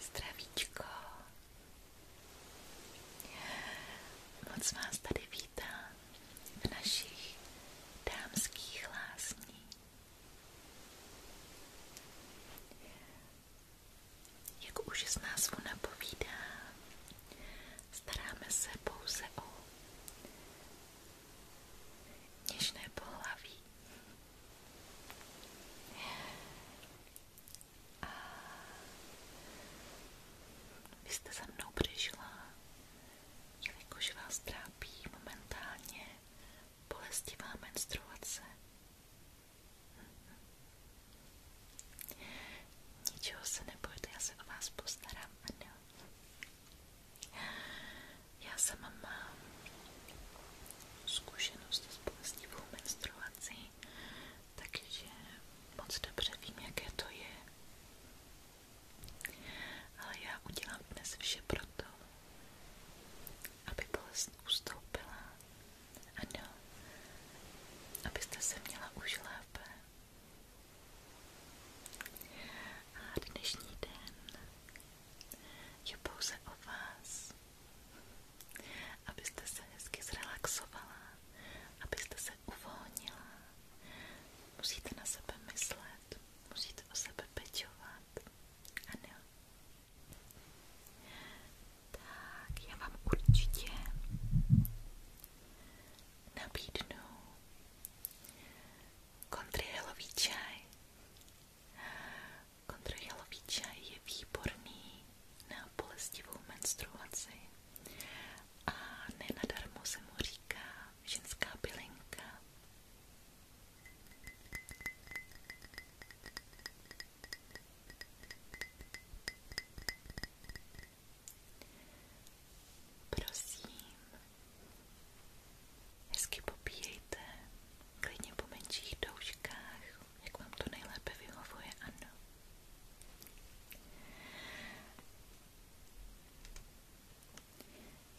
Zdravíčko. Moc vás tady vítám v našich dámských lázních. Jak už z názvu napovídá, Staráme se pouze o něžné pohlaví. A vy jste za mnou přišla, jelikož vás trápí momentálně bolestivá menstruace. Ničeho se nebojte, já se o vás postarám a já sama mám zkušenost s bolestivou menstruací, takže moc dobře vím, jaké to je. Ale já udělám dnes vše proto, aby bolest ustoupila. Ano, abyste se měla už lépe. A dnešní den je pouze o vás, abyste se hezky zrelaxovala, abyste se uvolnila. Musíte na sebe myslet, musíte o sebe pečovat. Ano. Tak, já vám určitě nabídnu kontrihelový čaj. Kontrihelový čaj je výborný na bolestivou menstruaci a nenadarmo se mu říká ženská bylinka. Prosím, hezky popíjejte, klidně po menších douškách, jak vám to nejlépe vyhovuje, ano.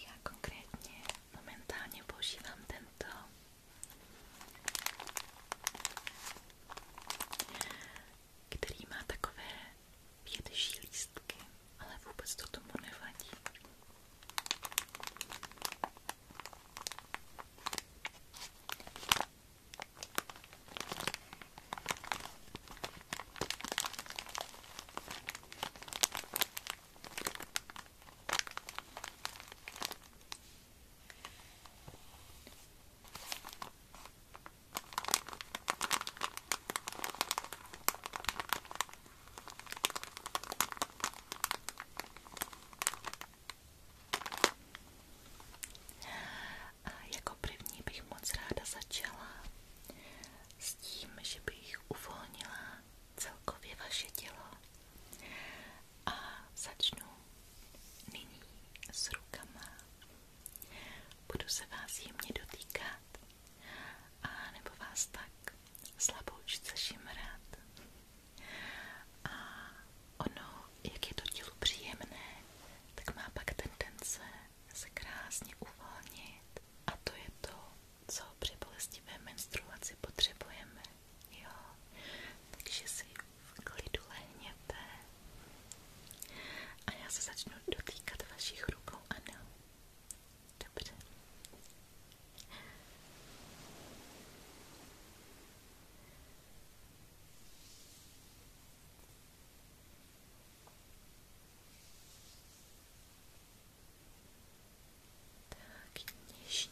Já konkrétně momentálně používám tento který má takové větší lístky, ale vůbec to tomu nevadí. A jako první bych moc ráda začala s tím, že bych uvolnila celkově vaše tělo a začnu nyní s rukama Budu se vás jemně dotýkat a nebo vás tak slaboučce šimrat. A ono, jak je to tělu příjemné, tak má pak tendence se krásně uvolnit. A to je to, co při bolestivé menstruaci potřebujeme. Jo? Takže si v klidu lehněte a já se začnu dotýkat vašich rukou, ano. Dobře. Tak, něžně.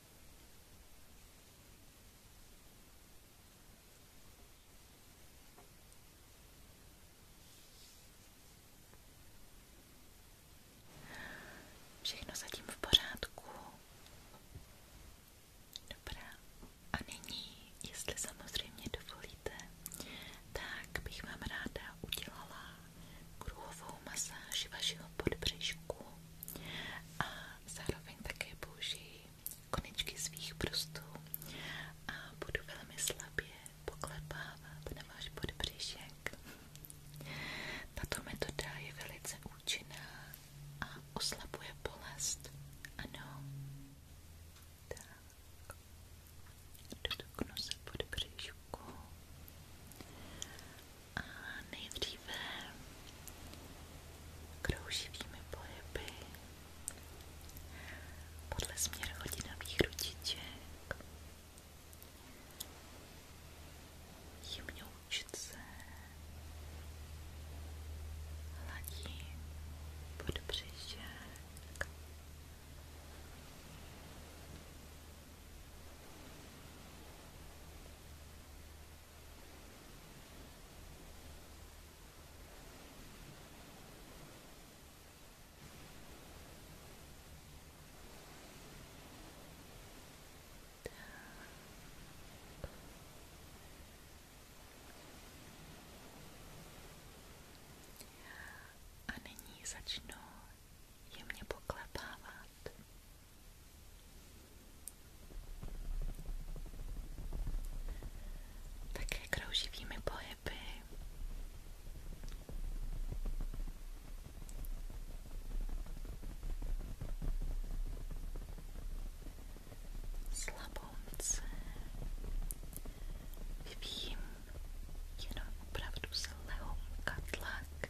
Všechno zatím v pořádku. Dobrá. A nyní, jestli samozřejmě dovolíte, tak bych vám ráda udělala kruhovou masáž vašeho podbřišku a zároveň také použiji konečky svých prstů a budu velmi slabě poklepávat na váš podbřišek. Tato metoda je velice účinná a oslabuje bolest. Ano. Tak. Dotknu se podbřišku knížku. A nejdříve krouživými pohyby podle směru hodinových ručiček jemňoučce hladím pod břišek tak. A nyní začnu jemně poklepávat také krouživými pohyby. Slabounce vyvíjím jenom opravdu z lehonka tlak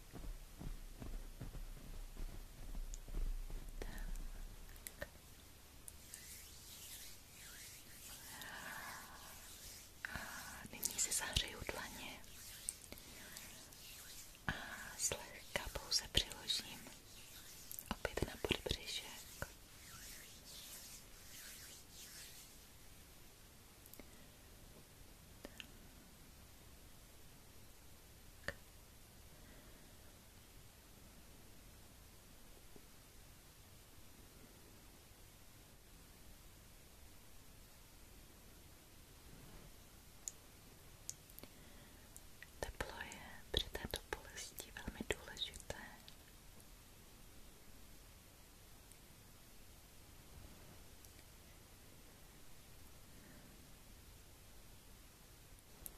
Tak. Nyní si zahřeju dlaně a zlehka pouze přiložím opět na podbřišek. Tak. Teplo je při této bolesti velmi důležité.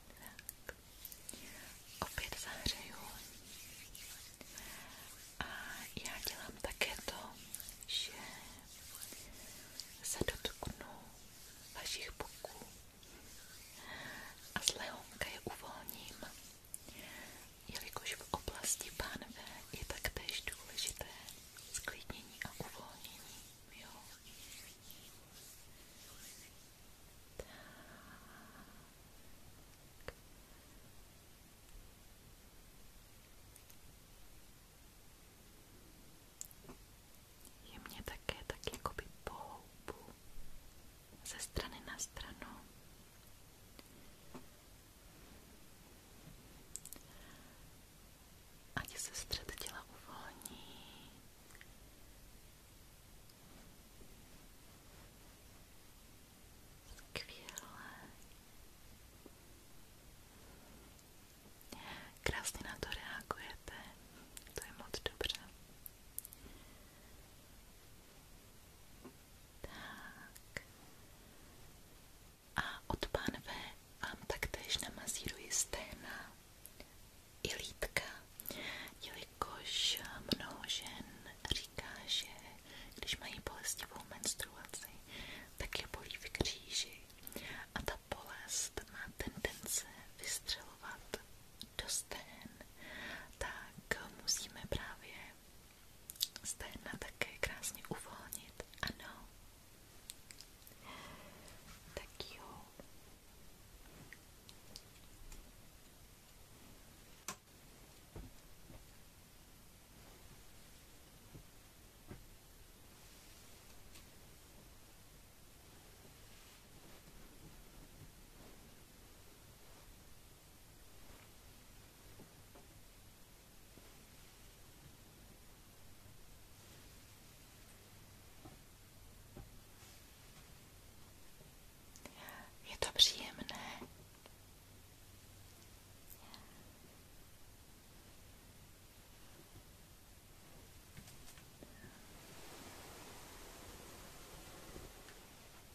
Tak. Opět zahřeju. A já dělám také to, že se dotknu vašich buků a z lehonka je uvolním jelikož v oblasti pánve je taktéž důležité sklidnění a uvolnění. Jo? Tak. Je mě také tak jakoby pohoubu ze strany na stranu. Ať se střed těla uvolní. Skvěle. Krásně na to reagujete. To je moc dobře. Tak a od pánve vám taktéž namazíruji sténa i lítka, jelikož mnoho žen říká, že když mají bolestivou menstruaci, tak je bolí v kříži a ta bolest má tendence vystřelovat do stén, tak musíme právě Stehna také krásně uvolnit, ano. Tak jo. Je to příjemné.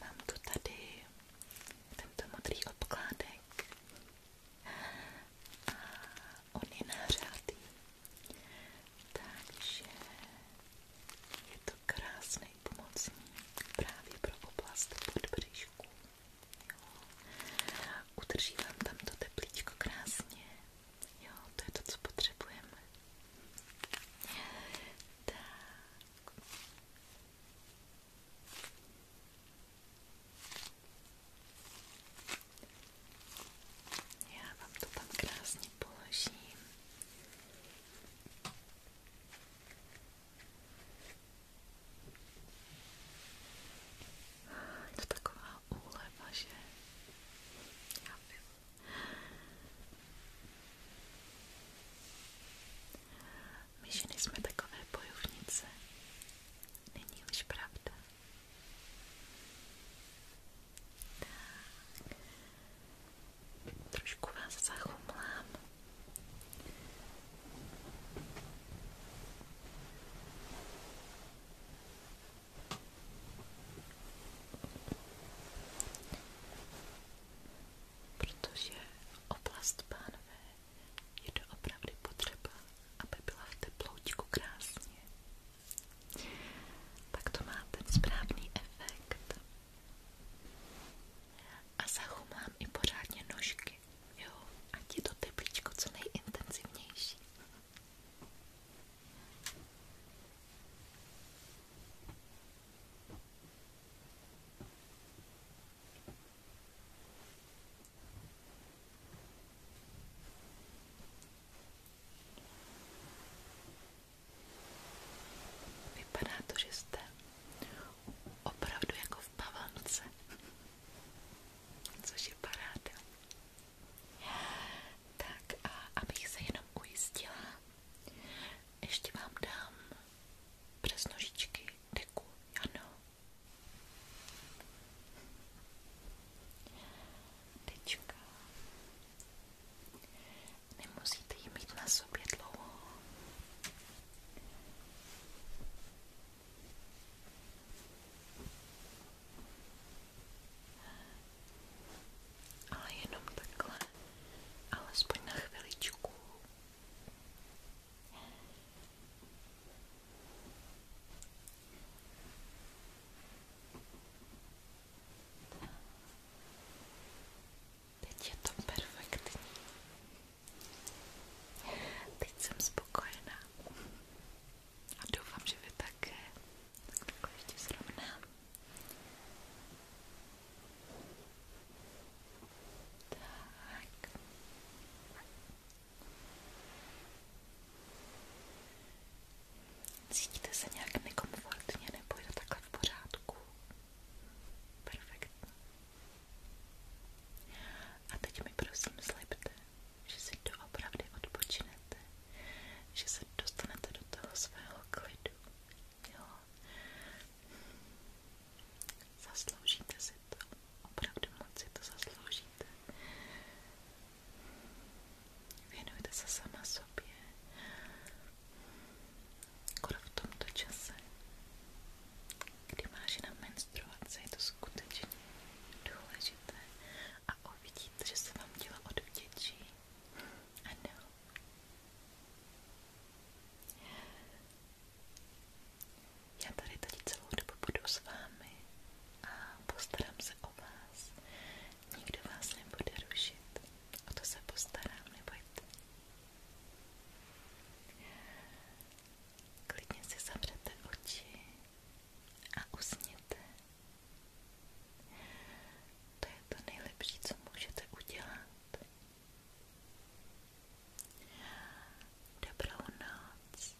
Mám tu tady tento modrý obkládek a on je takže je to krásný dělají pomocník právě pro oblast podbřišku. Udrží vám tam to teplíčko krásně. Jo, to je to, co potřebujeme. Tak. Já vám to tam krásně položím. Je to taková úleva, že já vím. My ženy jsme takové bojovnice. Není už pravda. Tak. Trošku vás zachumlám. Protože oblast pánové je doopravdy potřeba, aby byla v teploučku krásně. Tak to má ten správný efekt. A zachumám i pořádně nožky, jo, ať je to teplíčko co nejintenzivnější. Vypadá to, že jste opravdu jako v pavance, což je paráda. Tak a abych se jenom ujistila, ještě vám dám přes nožičky deku, ano. Tečka. Nemusíte ji mít na sobě dlouho. Ale jenom takhle, alespoň na chviličku. Teď je to perfektní. Teď jsem spokojená. A doufám, že vy také. Tak takhle ještě zrovnám. Tak. Cítíte se nějak nekomfortně nebo je to takhle v pořádku? Perfektní. A teď mi prosím slibte, že si doopravdy odpočinete, že se dostanete do toho svého klidu. Jo. Zasloužíte si to, opravdu moc si to zasloužíte. Věnujte se sama sobě, kor v tomto čase, kdy má žena menstruace, je to skutečně důležité a uvidíte, že se vám tělo odvděčí. Ano. Já tady tady celou dobu budu s vámi a postarám se o vás. Nikdo vás nebude rušit. O to se postarám, nebojte. Klidně si zavřete oči a usněte. To je to nejlepší, co můžete udělat. Dobrou noc.